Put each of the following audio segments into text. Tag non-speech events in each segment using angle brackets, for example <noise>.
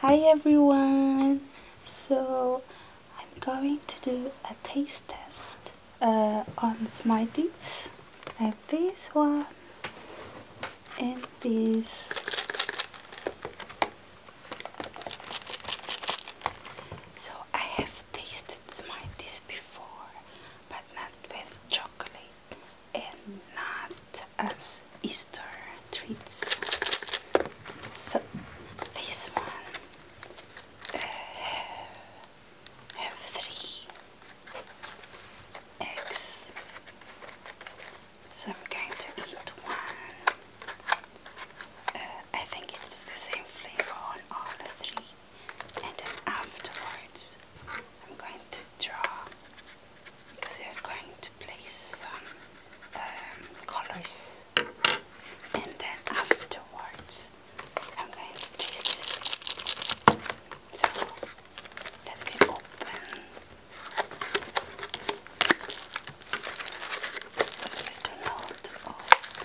Hi everyone! So I'm going to do a taste test uh, on Smarties. I have this one and this. So I have tasted Smarties before but not with chocolate and not as Easter treats. So this one uh, have, three eggs. So I'm going to eat one. Uh, I think it's the same flavor on all the three, and then afterwards I'm going to draw because you're going to place some um, colors and then afterwards I'm going to taste this. So let me open. I don't know how to open.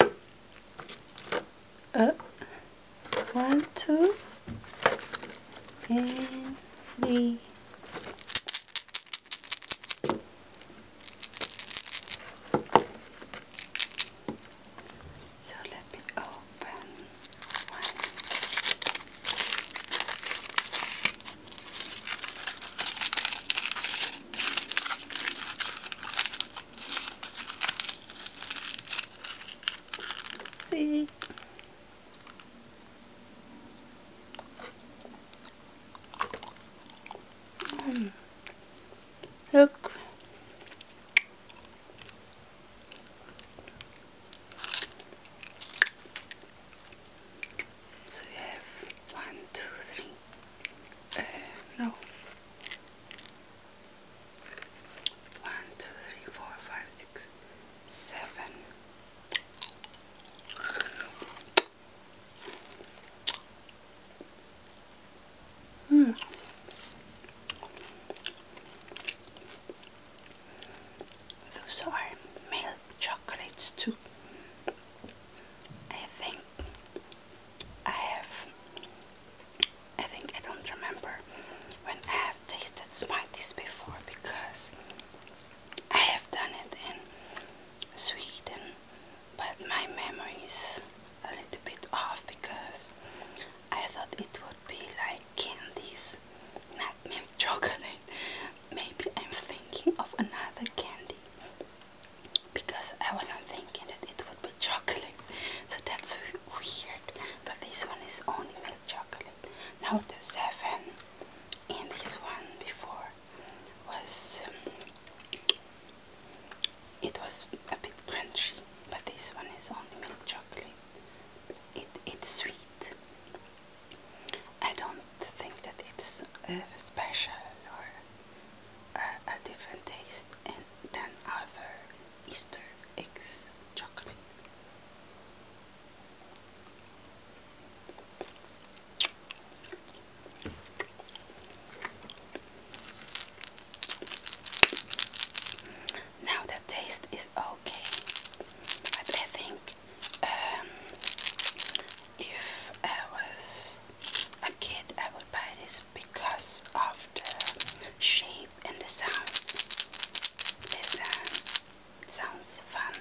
up, uh, one, two, and three. So let me open one. See? Hmm. Look. So you have one, two, three. Uh, no. One, two, three, four, five, six, seven. Hmm. Those are milk chocolates too. I think I have I think I don't remember when I have tasted Smarties before because I have done it in Sweden but my memory is a little bit off because I thought it would be like candies, not milk chocolate Maybe I'm thinking of another candy because I wasn't thinking that it would be chocolate, so that's weird. But this one is only milk chocolate. Now the seven in this one before was um, it was a bit crunchy, but this one is only milk chocolate. It it's sweet. I don't think that it's uh, special or a different taste than other Easter eggs chocolate. Now the taste is okay, but I think um, if I was a kid, I would buy this because of the shape and the sounds. The sound sounds fun.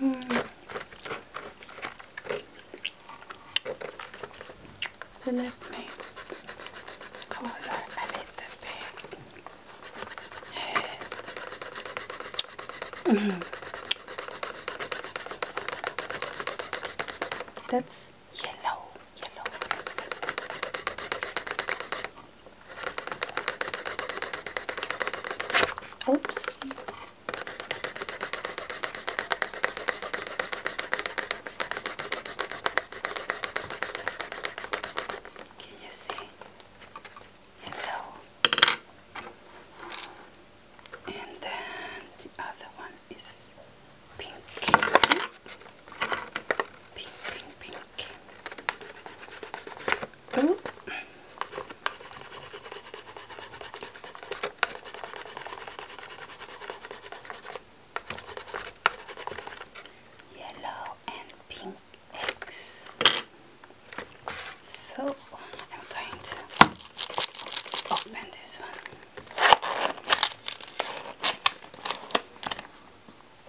Mm. me color a little bit. Mm -hmm. That's yellow, yellow. Oops. Can you see? Hello. And then the other one is pink. Pink, pink, pink. Yellow and pink eggs. So I'm going to open this one.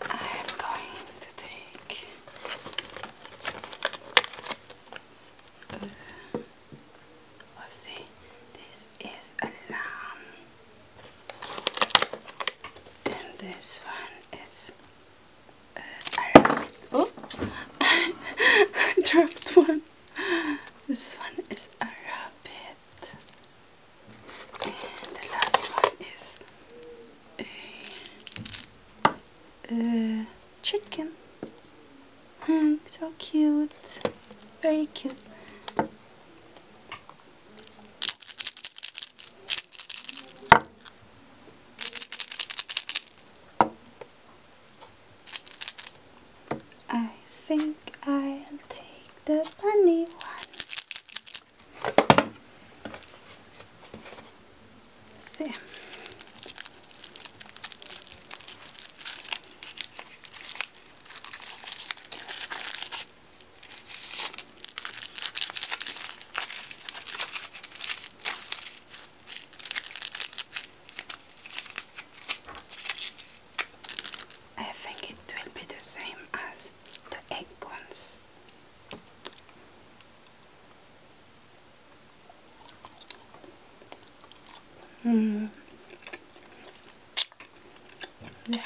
I am going to take uh, let's see this is a lamb and this one is uh, I oops I <laughs> dropped one this one is a rabbit and the last one is a, uh, chicken. Mm, so cute. Very cute. I think I'll take the bunny one. See, I think it will be the same as the egg ones this. Mm. Yeah,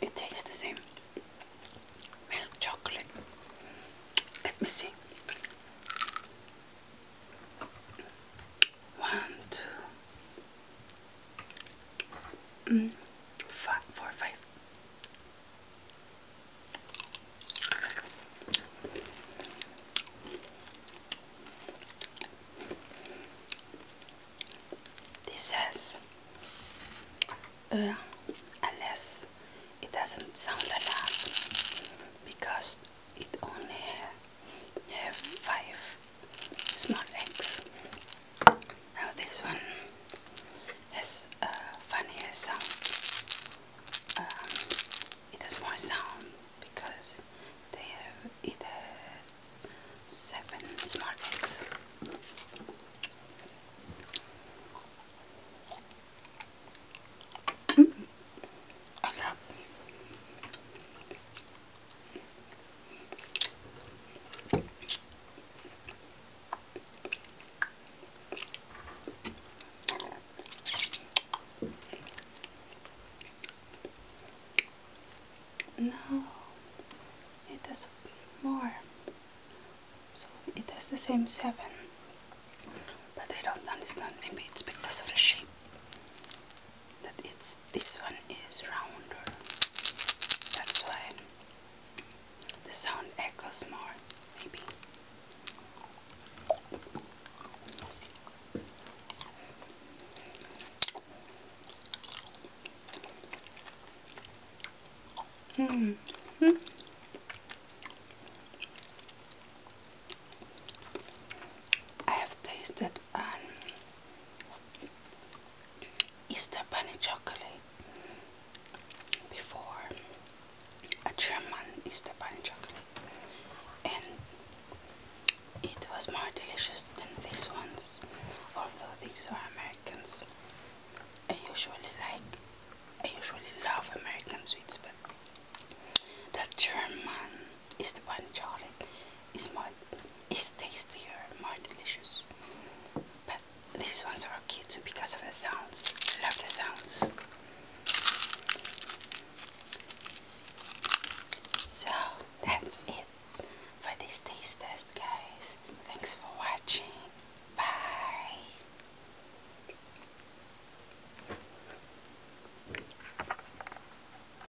it tastes the same. Milk chocolate. Let me see. One, two, Mm, five, four, five. This has uh, unless it doesn't sound a lot because it only have five small eggs. Now this one has funnier sound. Um, it has more sound because they have it seven small eggs. -hmm. I no, it has more. So it has the same seven. But I don't understand. Maybe it's because of the shape that it's this one is rounder. That's why the sound echoes more, maybe. Mm -hmm. I have tasted um, Easter Bunny chocolate before a German Easter Bunny chocolate, and it was more delicious than these ones, although these are Americans. I usually like, I usually love American sweets, but the German is the one chocolate is more is tastier, more delicious. But these ones are okay too because of the sounds. I love the sounds. So that's it for this taste test guys. Thanks for watching. Bye.